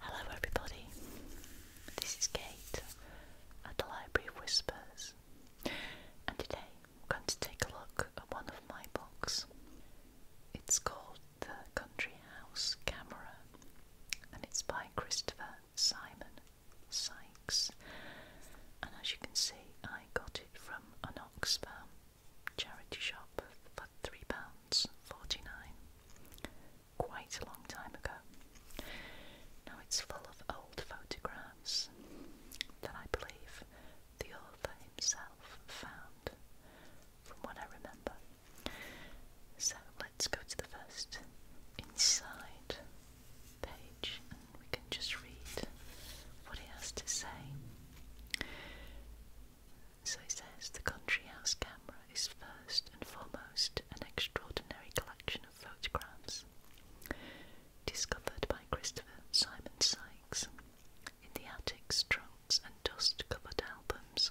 Hello, everybody. This is Kate at the Library of Whispers, and today we're going to take a look at one of my books. It's called The Country House Camera, and it's by Christopher Simon Sykes. And as you can see, I got it from an Oxfam charity shop for £3.49 quite a long time ago. Now it's full of old photographs that I believe the author himself found, from what I remember. So let's go to the first inside page and we can just read what he has to say. So he says the country house camera is first and foremost an extraordinary collection of photographs discovered by Christopher Simon Sykes in the attics, trunks, and dust covered albums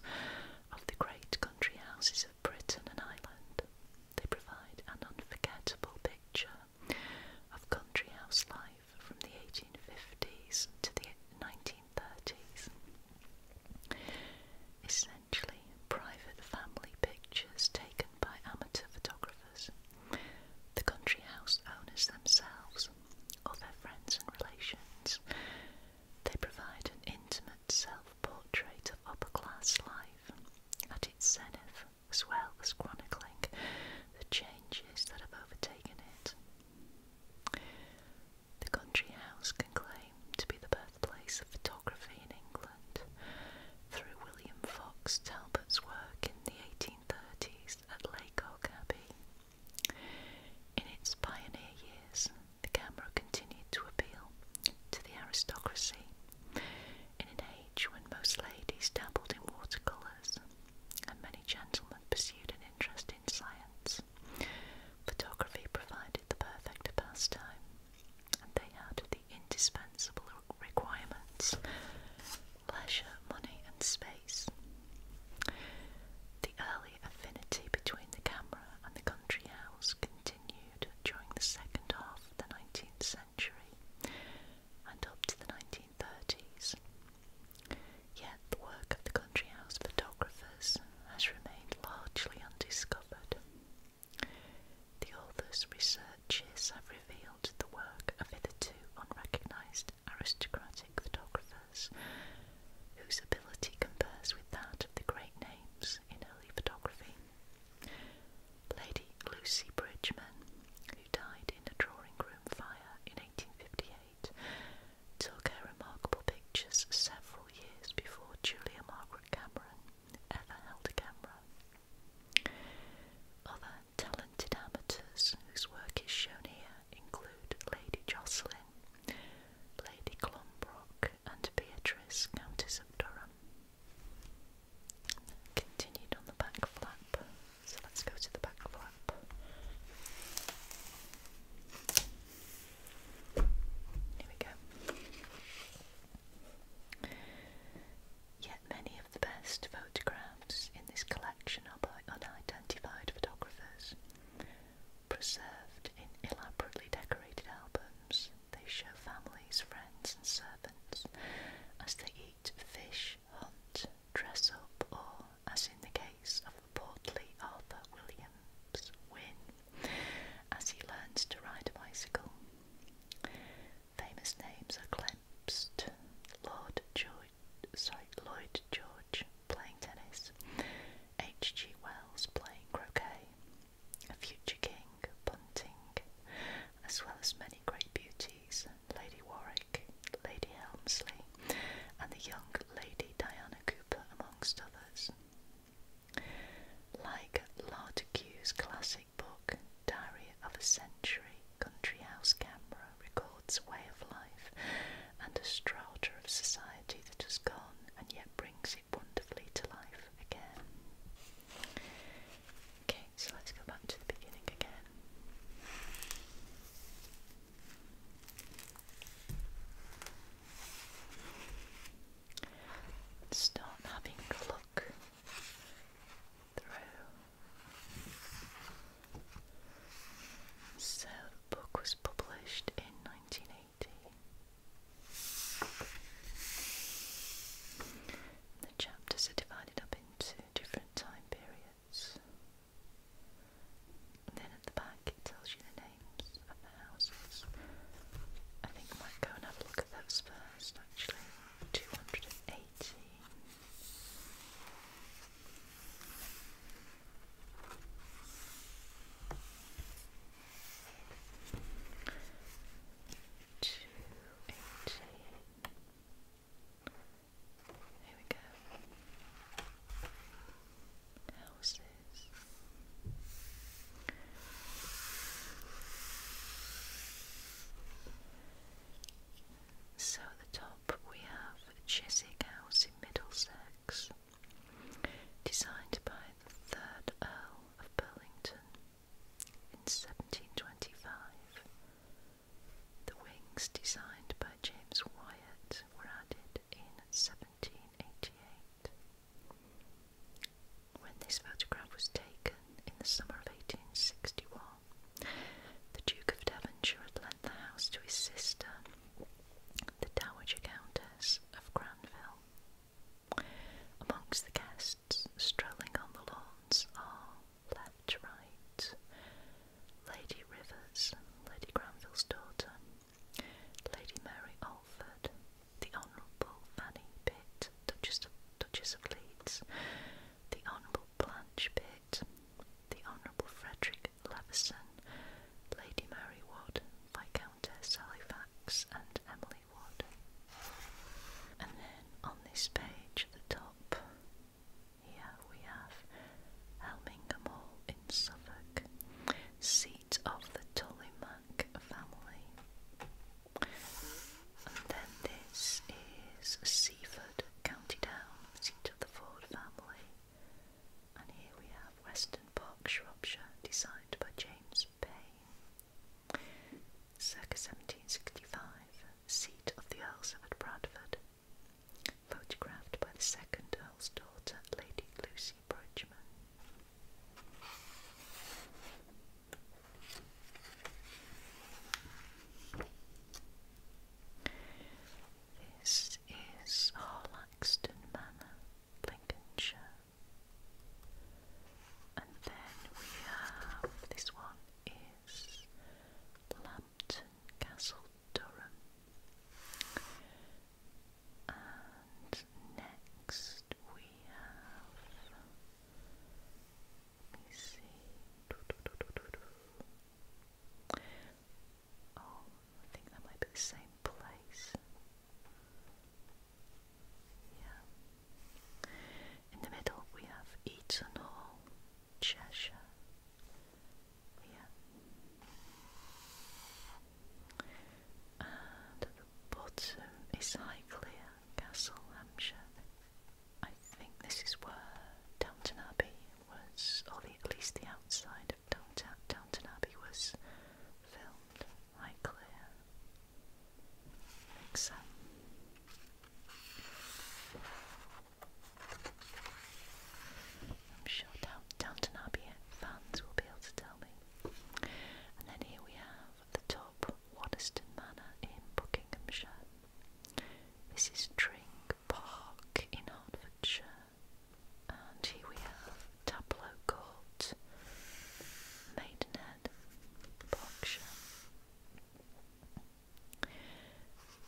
of the great country houses of Britain and Ireland. They provide an unforgettable picture of country house life from the 1850s to the 1930s. Essentially, private family pictures taken by amateur photographers, the country house owners themselves, or their friends and relations. They provide an intimate self portrait of upper class life at its zenith, as well as chronicling the changes that have overtaken it. The country house can claim to be the birthplace of photography in England through William Fox Talbot's work in the 1830s at Laycock Abbey. In its pioneer years, the camera continued to appeal to the aristocracy in an age when most ladies dabbled in watercolours and many gentlemen pursued an interest in science. Photography provided the perfect pastime, and they had the indispensable requirements leisure, money, and space. The early affinity between the camera and the country house continued during the second half of the 19th century and up to the 1930s. Yet the work of the country house photographers has remained largely undiscovered. The author's researches have revealed the work of hitherto unrecognised aristocratic photographers whose ability compares with that of the great names in early photography. Lady Lucy Bridgeman, who died in a drawing room fire in 1858, took her remarkable pictures several years before Julia Margaret Cameron ever held a camera. Other talented amateurs whose work is shown here include Lady Jocelyn, Lady Clombrock, and Beatrice, Countess of Durham. Continued on the back flap, so let's go to the back flap. Here we go. Yet many of the best photographs in this collection are by unidentified photographers. Preserved in elaborately decorated albums, they show families, friends, and servants as they eat fish, hunt, dress up, or, as in the case of the portly Arthur Williams, win, as he learns to ride a bicycle. Famous names are Clemst, Lord George, sorry, Lloyd George playing tennis, H.G. Wells playing croquet, a future king punting, as well as many great beauties, Lady Warwick, Lady Helmsley, and the young Lady Diana Cooper amongst others. Like Lartigue's classic book, Diary of a Century, Country House Camera records a way of life and a strata of society that has gone and yet brings it wonderfully to life again. Okay, so let's go back to the beginning again. Start having a look through. So the book was published in 1980. The chapters are divided up into different time periods. Then at the back it tells you the names of the houses. I think I might go and have a look at those first actually. 218. Two eighteen. Here we go. Houses. So at the top we have Chiswick House in Middlesex, designed by the third Earl of Burlington in 1725. The wings designed by James Wyatt. Catholics were added in 1788. When this photograph was taken in the summer of 1861, the Duke of Devonshire had lent the house to his sister, the Dowager Countess of Granville. Amongst the guests strolling on the lawns are left, right, Lady Rivers, Lady Granville's daughter, Lady Mary Alford, the Honourable Fanny Pitt, Duchess of, Leeds, the Honourable Blanche Pitt, the Honourable Frederick Levison, Lady Mary Wood, Viscountess Halifax, and Emily Wood. And then on this page the top, here we have Helmingham Hall in Suffolk, seat of the Tolleymack family. And then this is Seaford, County Down, seat of the Ford family. And here we have Weston Park, Shropshire, designed by James Payne. Circa 1765, seat of the Earls of Bradford photographed by the second Earl's daughter, Lady Lucy Bridgeman. This is Harlaxton Manor, Lincolnshire. And then we have this one is Lambton Castle Durham. And next we have. Let me see. Oh, I think that might be the same place. Yeah. In the middle we have Eaton Hall. Cheshire. Yeah. And the bottom is Highclere, Castle, Hampshire. I think this is where Downton Abbey was, or at least the outside of Downton, Abbey was filmed. Highclere. I'm sure Down Downton Abbey fans will be able to tell me. And then here we have the top Waddesdon Manor in Buckinghamshire. This is Tring Park in Hertfordshire. And here we have Tableau Court, Maidenhead, Berkshire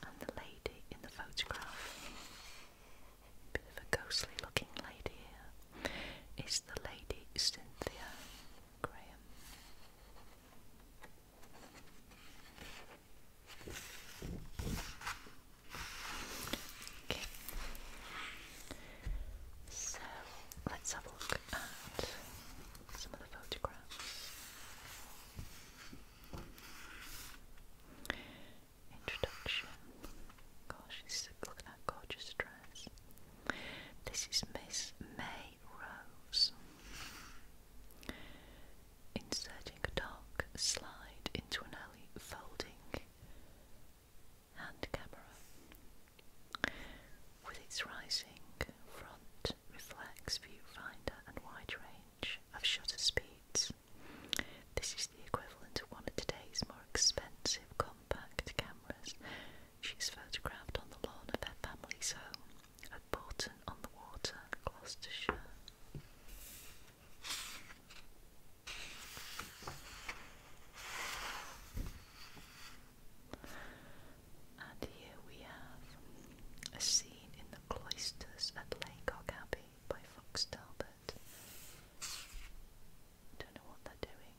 and the lady in the photograph, bit of a ghostly looking lady here, is the lady Cynthia Graham. Okay. So let's have a look at some of the photographs. Introduction. Gosh, this is a, gorgeous dress. This is Miss May Rose. Inserting a dark slide into an alley folding hand camera. With its rising front reflects viewfinder and wide range of shutter speeds. This is the equivalent of one of today's more expensive compact cameras. She's photographed on the lawn of her family's home at Borton on the Water, Gloucestershire. And here we have a scene in the cloisters at Laycock Abbey by Fox Talbot. Don't know what they're doing.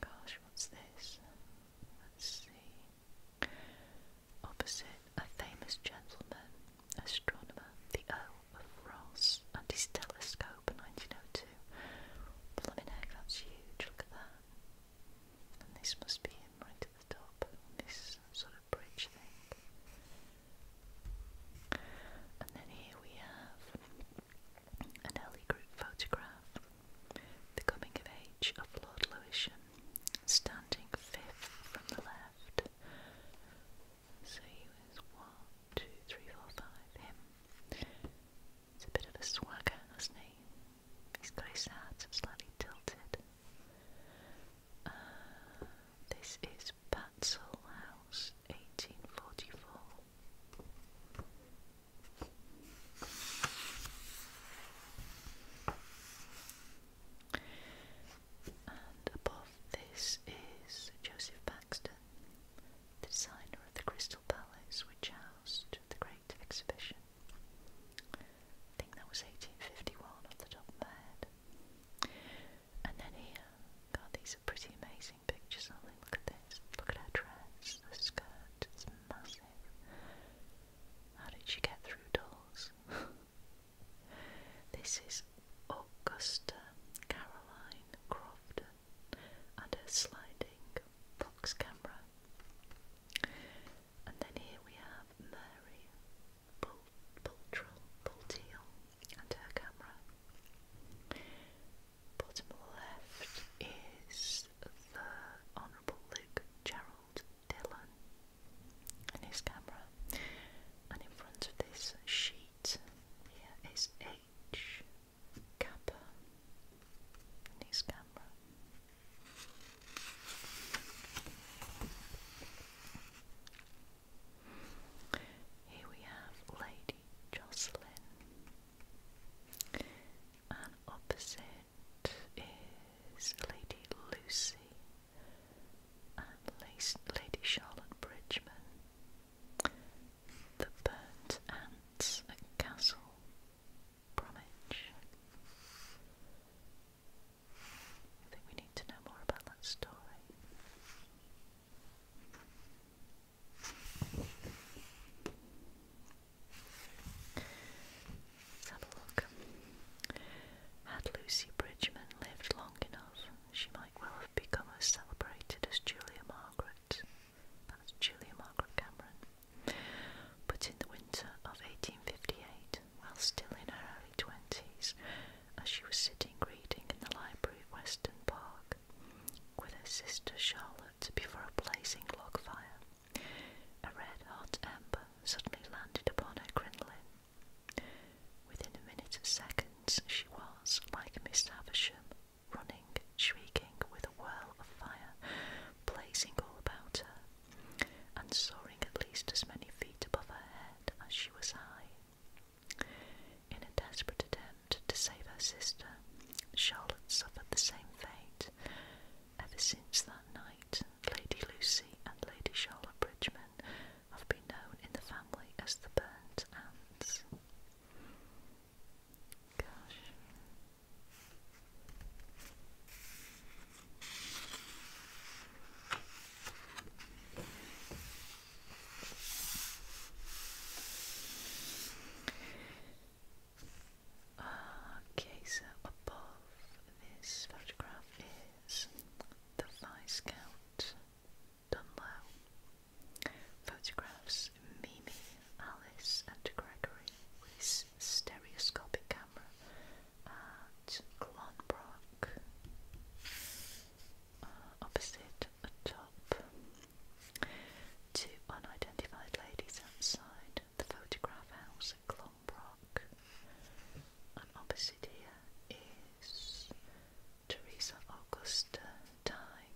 Gosh, what's this? Let's see. Opposite a famous gentleman, astronomer, the Earl of Ross, and his telescope, 1902 too. Blooming heck, that's huge, look at that. And this must be him right at the top, this sort of bridge thing. And then here we have an Ellie Group photograph, The Coming of Age of Lord Lewisham, standing fifth from the left. So he was one, two, three, four, five, him. It's a bit of a swagger, hasn't he? He's got his hat slightly tilted. Uh, this is Batzel House, 1844. And above this is Joseph Baxter the designer of the Crystal Palace, which housed the Great Exhibition. I think that was 1851 off the top of my head. And then here, God, these pretty amazing pictures, are Look at this. Look at her dress, the skirt, it's massive. How did she get through doors? this is Augusta Caroline Crofter and a sliding box camera. And then here we have Mary Bultrell, Bulteal, and her camera. Bottom left is the Honourable Luke Gerald Dillon and his camera. And in front of this sheet here is H. Kappa in camera. Here we have Lady Jocelyn, and opposite is Lady Lucy and Lady Charlotte Bridgeman. The Burnt Ants at Castle Bromwich. I think we need to know more about that story. Let's have a look. Had Lucy Bridgeman lived long enough, she might well have become as celebrated as Julia Margaret that's Julia Margaret Cameron. But in the winter of 1858, while still in her early twenties, as she was sitting reading in the library of Weston Park with her sister Charlotte before a blazing log fire, a red hot ember suddenly landed upon her crinoline. Within a minute of seconds, she was, like Miss Havisham, running, shrieking with a whirl of fire, blazing all about her, and soaring at least as many feet above her head as she was high. In a desperate attempt to save her sister, Charlotte suffered the same fate. Ever since that night, Lady Lucy and Lady Charlotte Bridgeman have been known in the family as the Burnt Ants. Gosh. Okay, above this photograph is the Vice Scout Dunlow. Photographs Mimi, Alice, and Gregory with stereoscopic camera at Clonbrock, uh, opposite a top. Two unidentified ladies outside the photograph house at Clonbrock. And opposite here is Teresa Augusta Dye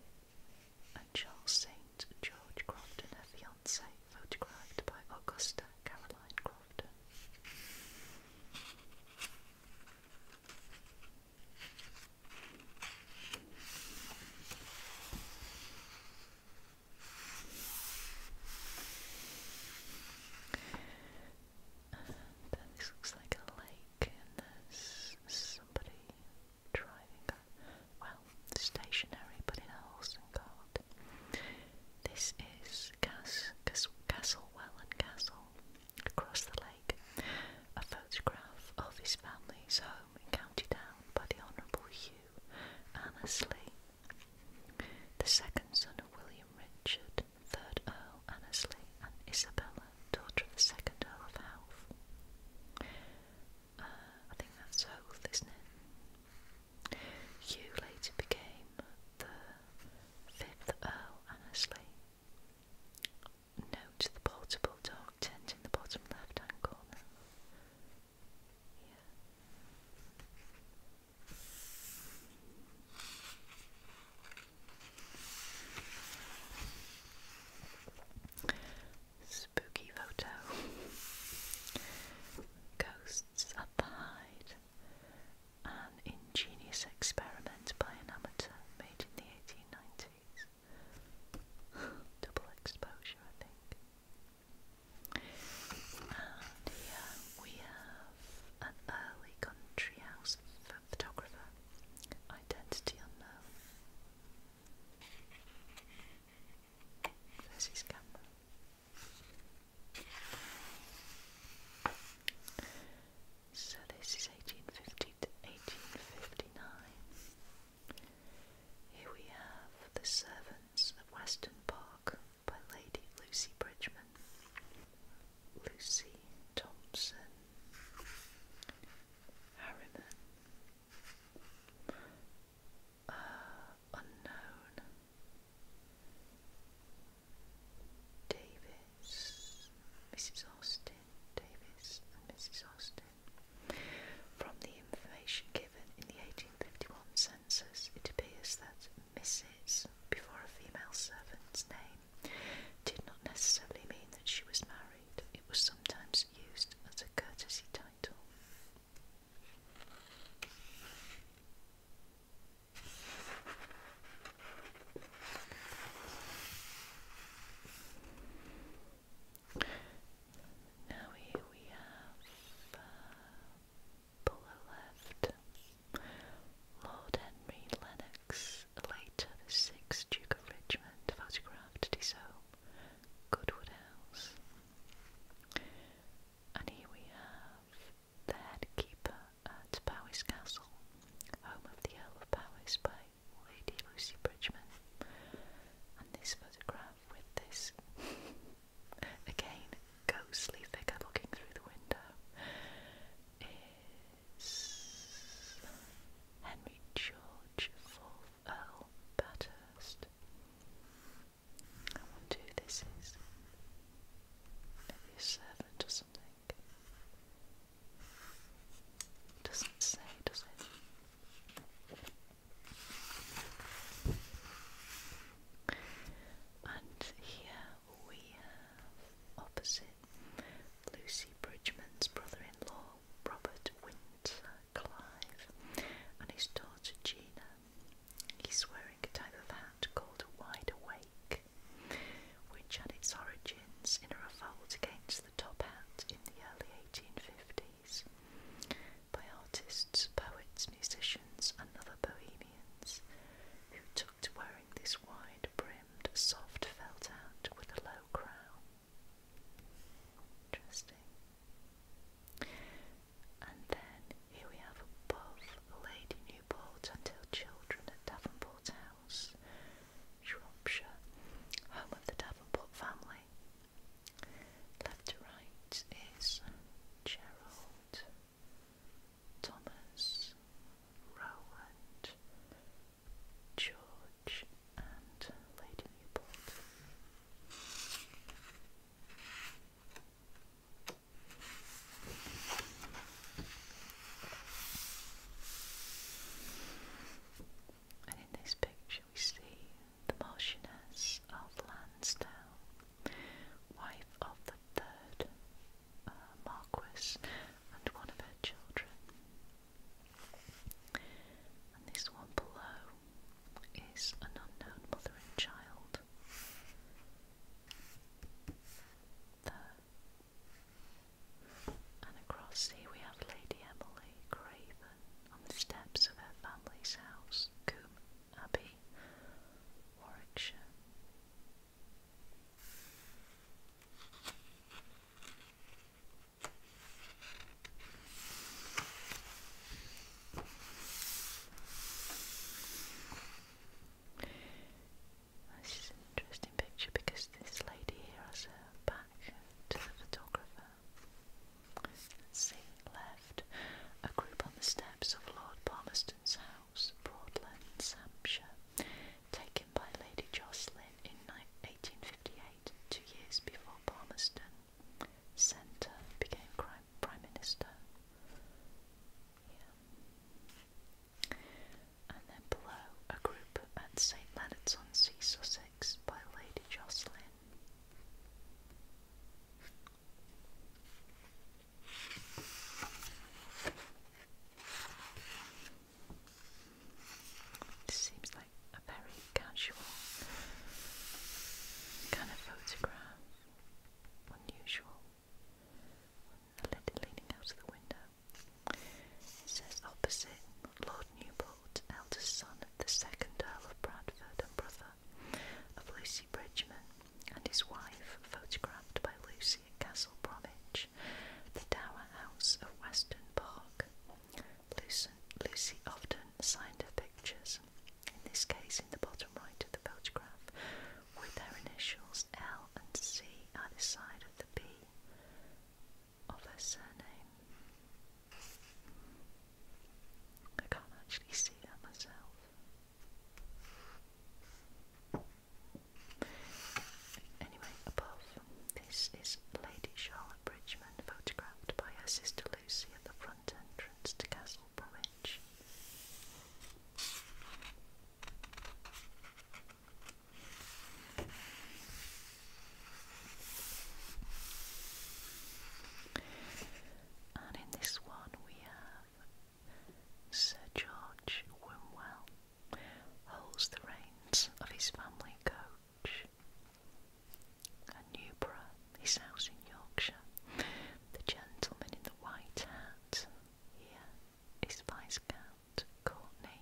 and Charles St. George Crofton, her fiancé, photographed by Augusta Caroline Crofton. then this looks like a lake, and there's somebody driving a, well, stationary, but in a horse and cart. This is Cas, Cas, Castlewellan Castle, across the lake. A photograph of his family's home in County Down by the Honourable Hugh Annesley, the second son of William Richard, third Earl Annesley and Isabella daughter of the second Earl of Howth. Uh, I think that's Howth, isn't it? Hugh later became the fifth Earl Annesley. Note the portable dog tent in the bottom left hand corner. Spooky photo. Ghosts at the Hyde. An ingenious experiment by an amateur made in the 1890s. Double exposure, I think. And here we have an early country house photographer, identity unknown. So this is 1850 to 1859. Here we have The Servants of Weston Park by Lady Lucy Bridgman. Lucy Thompson Harriman. Uh, unknown. Davis, Mrs. Austin, Davis Mrs. Austin. From the information given in the 1851 census, it appears that Mrs. before a female servant's name name did not necessarily mean that she was married, it was sometimes used as a courtesy title. Now here we have uh, left, Lord Henry Lennox, later the 6th Duke of Richmond photographed at his home, Goodwood House. And here we have the head keeper at Powys Castle, home of the Earl of Powys by Lady Lucy Bridgeman. And this photograph with this, again, ghostly figure looking through the window Henry George, 4th Earl Bathurst. I wonder who this is. Maybe a servant or something. Doesn't say, does it? And here we have opposite Lucy Bridgman's brother-in-law, Robert Windsor Clive, and his daughter Gina. He's wearing a type of hat called a wide awake, which had its origins in a revolt against the top hat in the early 1850s by artists, poets, musicians, and other bohemians who took to wearing this wide brimmed, soft felt hat with a low crown. Interesting. And then here we have above lady Newport until children at Davenport House, Shropshire, home of the Davenport family. Left to right is Gerald, Thomas, Roland, George and Lady Newport. And in this picture, we see the Marchioness of Lansdowne, wife of the third uh, Marquess, and one of her children, and this one below is an unknown mother and child. And across here we have Lady Emily Craven on the steps of her family's house, Coombe Abbey, Warwickshire. This is an interesting picture because this lady here has her back to the photographer. let left, a group on the steps of Lord Palmerston's house, Broadlands, Hampshire taken by Lady Jocelyn in 1858, two years before Palmerston Centre became Prime Minister. And then below, a group at St Leonard's on Sea, Sussex by Lady Jocelyn. This seems like a very casual kind of photograph. Unusual. A lady leaning out of the window. It says opposite Lord Newport, eldest son of the second Earl of Bradford and brother of Lucy Bridgeman, and his wife, photographed by Lucy Castle Bromwich, the Tower House of Weston Park, Lucy often signed her pictures, in this case in the bottom right of the photograph, with her initials L and C either side of the B of her surname. I can't actually see that myself. Anyway, above, this is Lady Charlotte Bridgman, photographed by her sister Lucy at the front entrance to Castle Bromwich. And in this one we have Sir George Wimwell holds the reins of his family coach. At Newborough, his house in Yorkshire, the gentleman in the white hat here is Viscount Courtenay,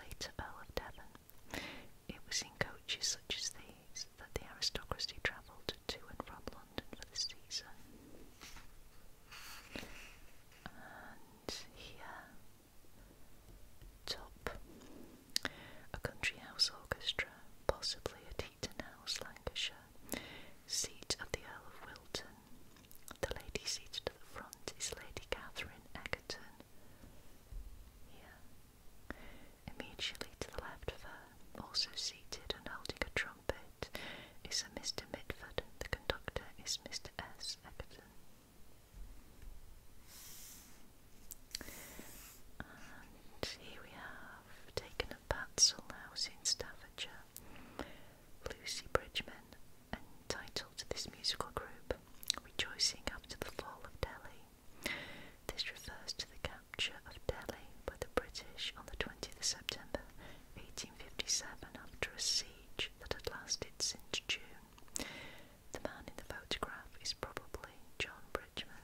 later Earl of Devon. It was in coaches such as these that the aristocracy travelled to and from London for the season. And here Top. A country house orchestra, possibly at Eaton House, Lancashire, seat of the Earl of Wilton. The lady seated at the front is Lady Catherine Egerton. Here. Immediately to the left of her, also seated and holding a trumpet, is a Mr. Midford. The conductor is Mr. S. Egerton here we have taken a Batsall House in Staffordshire. Lucy Bridgman entitled to this musical group, Rejoicing After the Fall of Delhi. This refers to the capture of Delhi by the British on the 20th of September 1857 after a siege that had lasted since June. The man in the photograph is probably John Bridgman.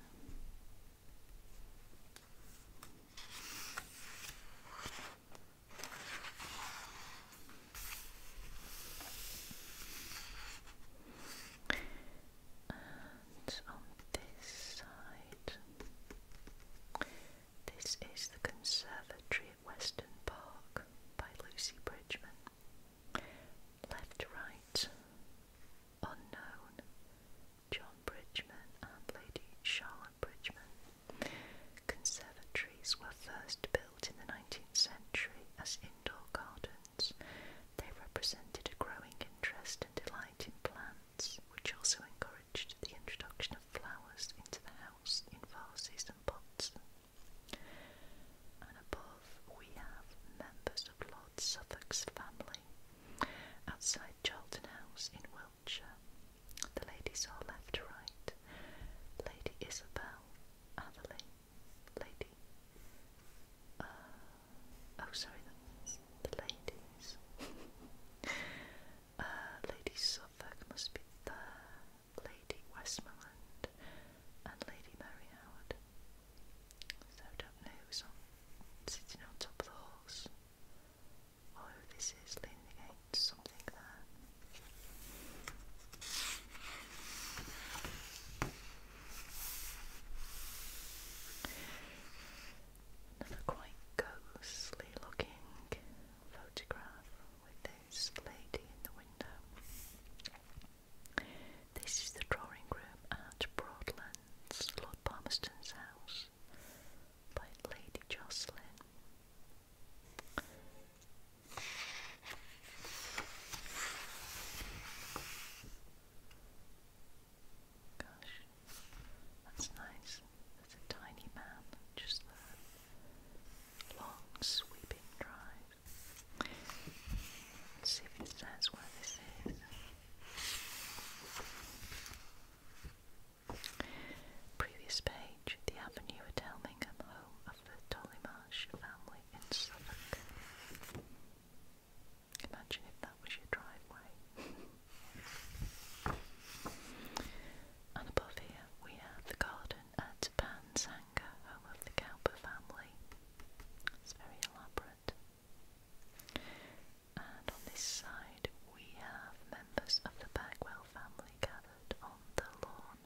And on this side, this is the conservatory Western Park by Lucy Bridgman. Left Right, Unknown, John Bridgman and Lady Charlotte Bridgman. Conservatories were first built in the 19th century as indoor gardens. They represented a growing interest and delight in plants, which also encouraged the introduction of flowers into the house in vases and pots and above, we have members of Lord Suffolk's family outside Charlton House in Wiltshire. The ladies are left to right Lady Isabel Atherley, Lady. Uh, oh, sorry, the ladies. Uh, Lady Suffolk must be there. Lady Westmoreland, and Lady Mary Howard. So don't know who's on, sitting on top of the horse, or this is leaning against something there. Another quite ghostly looking photograph with this lady in the window. This is the drawing room at Broadlands, Lord Palmerston's house, by Lady Jocelyn. Gosh, that's nice. There's a tiny man just there long sweeping drive. see if it says where this is. Previous page, the avenue at Elmingham, home of the Tollymarsh family in Suffolk. Imagine if that was your driveway. and above here we have the garden at Pansanga, home of the Cowper family. It's very elaborate. And on this side, we have members of the Bagwell family gathered on the lawn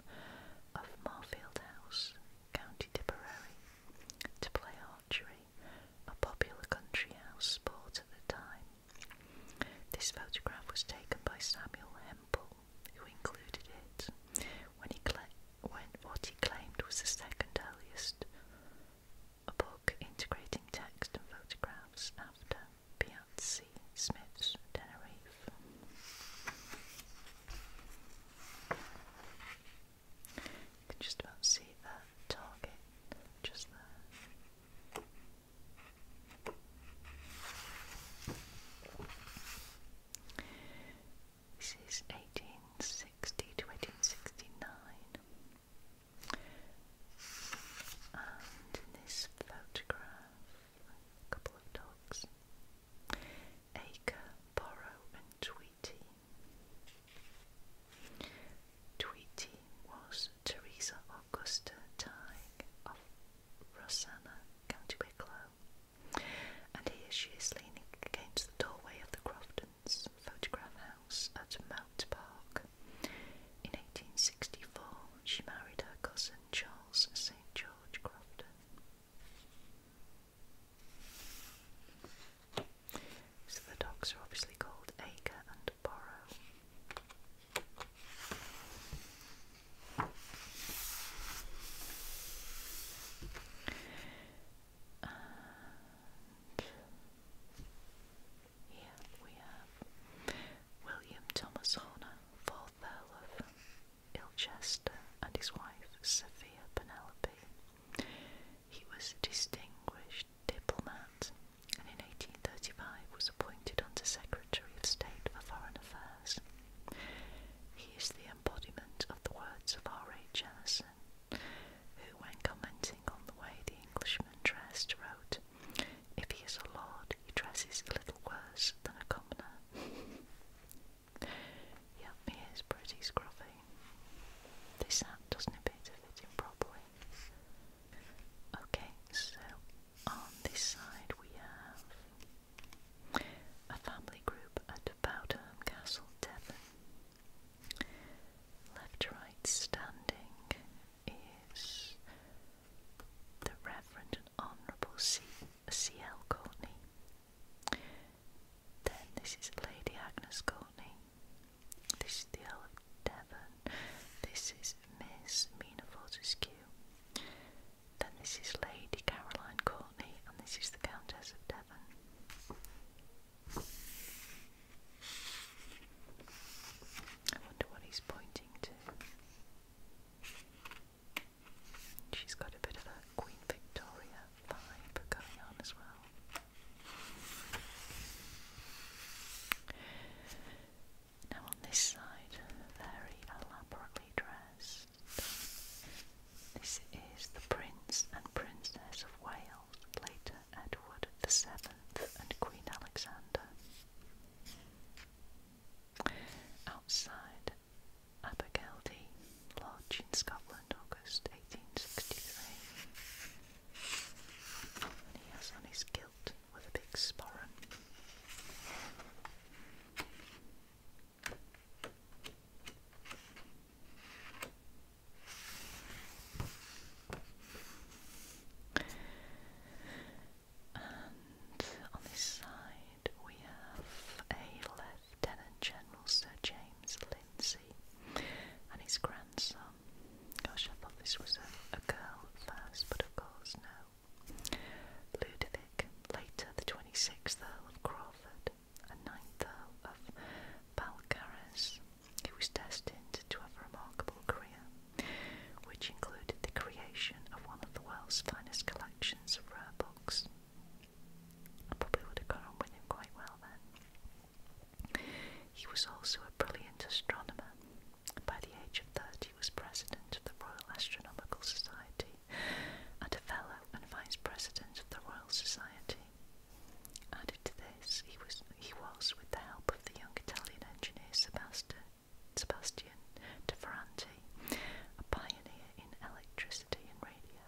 of Marfield House, County Tipperary, to play archery, a popular country house sport at the time. This photograph was taken by Samuel Hempel, who included it when, he when what he claimed was the second earliest a book integrating text and photographs after Piazzi Smith's Tenerife. You can just about see that target just there. This is 1860 to 1869. And in this photograph, a couple of dogs Acre, Borrow, and Tweety. Tweety was Teresa Augusta Tighe of Rosanna County Wicklow, and here she is leaning against the doorway of the Crofton's photograph house at Mount Park. In 1864, she married her cousin Charles St. George Crofton. So the dogs are obviously called Acre and Borrow here we have William Thomas Horner, fourth Earl of Ilchester, and his wife Sophia Penelope. He was a distinguished diplomat and in 1835 was appointed Under Secretary of State for Foreign Affairs. He is the embodiment of the words of R. H. RHS, who, when commenting on the way the Englishman dressed, wrote, If he is a lord, he dresses a little worse than a commoner. he is pretty scruffy. This hat doesn't appear to fit him properly. Okay, so on this side we have a family group at Bowdham Castle, Devon. Left to right standing is the Reverend and Honourable C. C. L. Courtney. Then this is Lady Agnes Courtney. This is the Earl of Devon. This is Miss Mina Fortescue. Then this is Lady Caroline Courtney, and this is the Countess of Devon. I wonder what he's pointing to. She's got a bit of a Queen Victoria vibe going on as well. Now on this side, very elaborately dressed. This is the Prince and Princess of Wales, later Edward VII and Queen Alexander. Outside Abergeldy Lodge in Scotland, August 1863. he has on his kilt with a big sporran. And on this side we have a Lieutenant General Sir James Lindsay and his grandson. Gosh, I thought this was a, a girl at first, but of course, no. Ludovic, later the 26th Earl of Crawford and 9th Earl of Balcarres, who was destined to a remarkable career, which included the creation of one of the world's finest collections of rare books. I probably would have got on with quite well then. He was also a brilliant astronomer by the age of 30, was president of the Royal Astronomical Society and a fellow and vice president of the Royal Society. Added to this, he was, he was with the help of the young Italian engineer Sebastian, Sebastian De Ferranti, a pioneer in electricity and radio.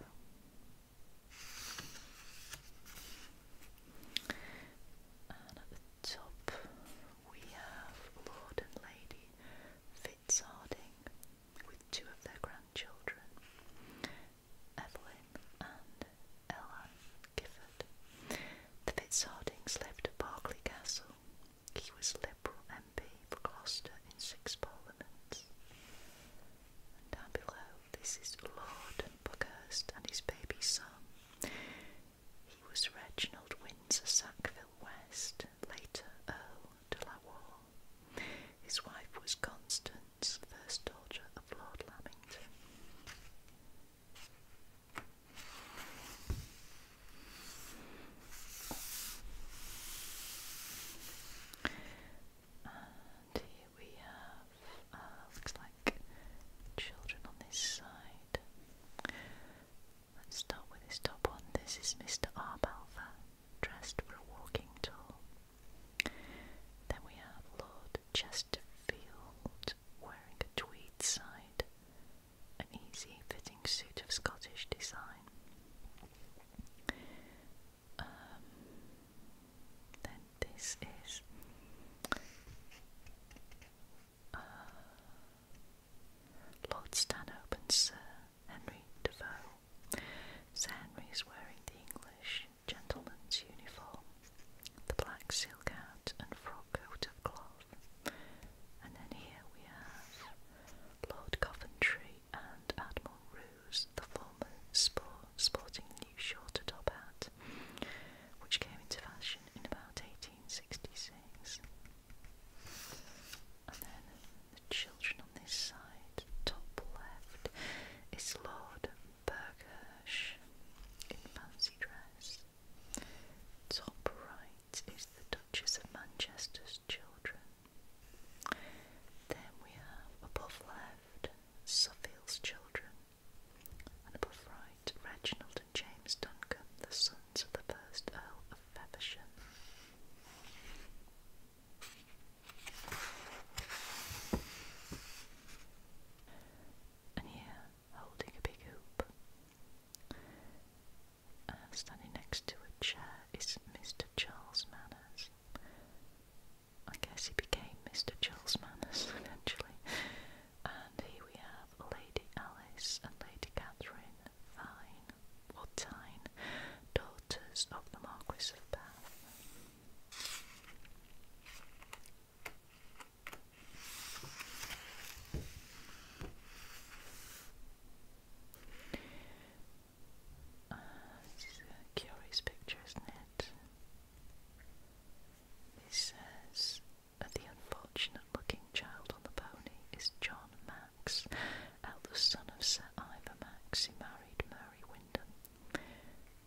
And at the top, we have Lord and Lady Fitz Harding with two of their grandchildren, Evelyn and Ella Gifford. The Fitzhardings lived at Berkeley Castle. He was Liberal MP for Gloucester in six parliaments. down below, this is Lord Buckhurst and his baby son. He was Reginald Windsor Sackville West, later Earl de la Warr. His wife was Constance, first daughter of Lord Lamington. And here we have, uh, looks like children on this side. Let's start with his top one. This is Mr. R. Arbalfa, dressed for a walking tour. Then we have Lord Chesterfield, wearing a tweed side, an easy fitting suit of Scottish design. Um, then this is uh, Lord Stanhope and Sir Henry de Sir Henry is wearing the English gentleman's uniform, the black silk hat and frock coat of cloth. And then here we have Lord Coventry and Admiral Ruse, the former sporting the new shorter top hat, which came into fashion in about 1866. And then the children on this side, top left, is Lord Burghirsch in fancy dress. Top right is the Duchess of Manchester's children. Then we have above left Suffield's children, and above right Reginald and James Duncombe, the sons of the first Earl of Feversham. And here, holding a big hoop, uh, standing next to a chair, is Mr. Charles Manners. I guess he became Mr. Charles Manners eventually. And here we have Lady Alice and Lady Catherine Thine, or Tyne, daughters of the Marquis of Bath. Uh, this is a curious picture, isn't it? It says the unfortunate looking child on the pony is John Max, eldest son of Sir Ivor Max, who married Mary Wyndham,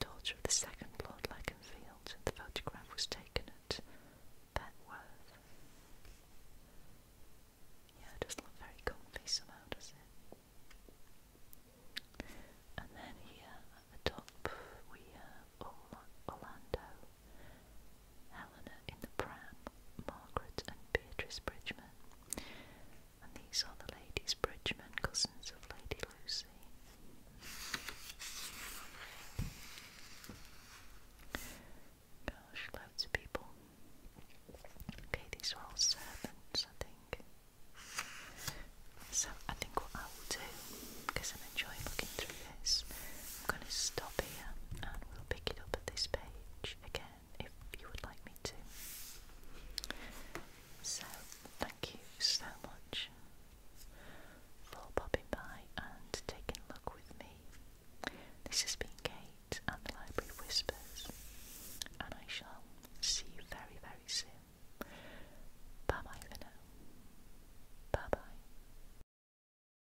daughter of the second Lord Lakenfield. The photograph was taken at Petworth. Yeah, doesn't look very comfy somehow, does it? And then here at the top we have Orlando, Helena in the Pram, Margaret and Beatrice Bridgman. And these are the ladies Bridgeman cousins of Lady Lucy. Gosh, loads of people. Okay, these are all servants, I think. So I think what I will do, because I'm enjoying looking through this, I'm going to stop here and we'll pick it up at this page again if you would like me to. So, thank you so much for popping by and taking a look with me. This has been Kate and the Library Whispers, and I shall see you very, very soon. Bye bye for Bye bye.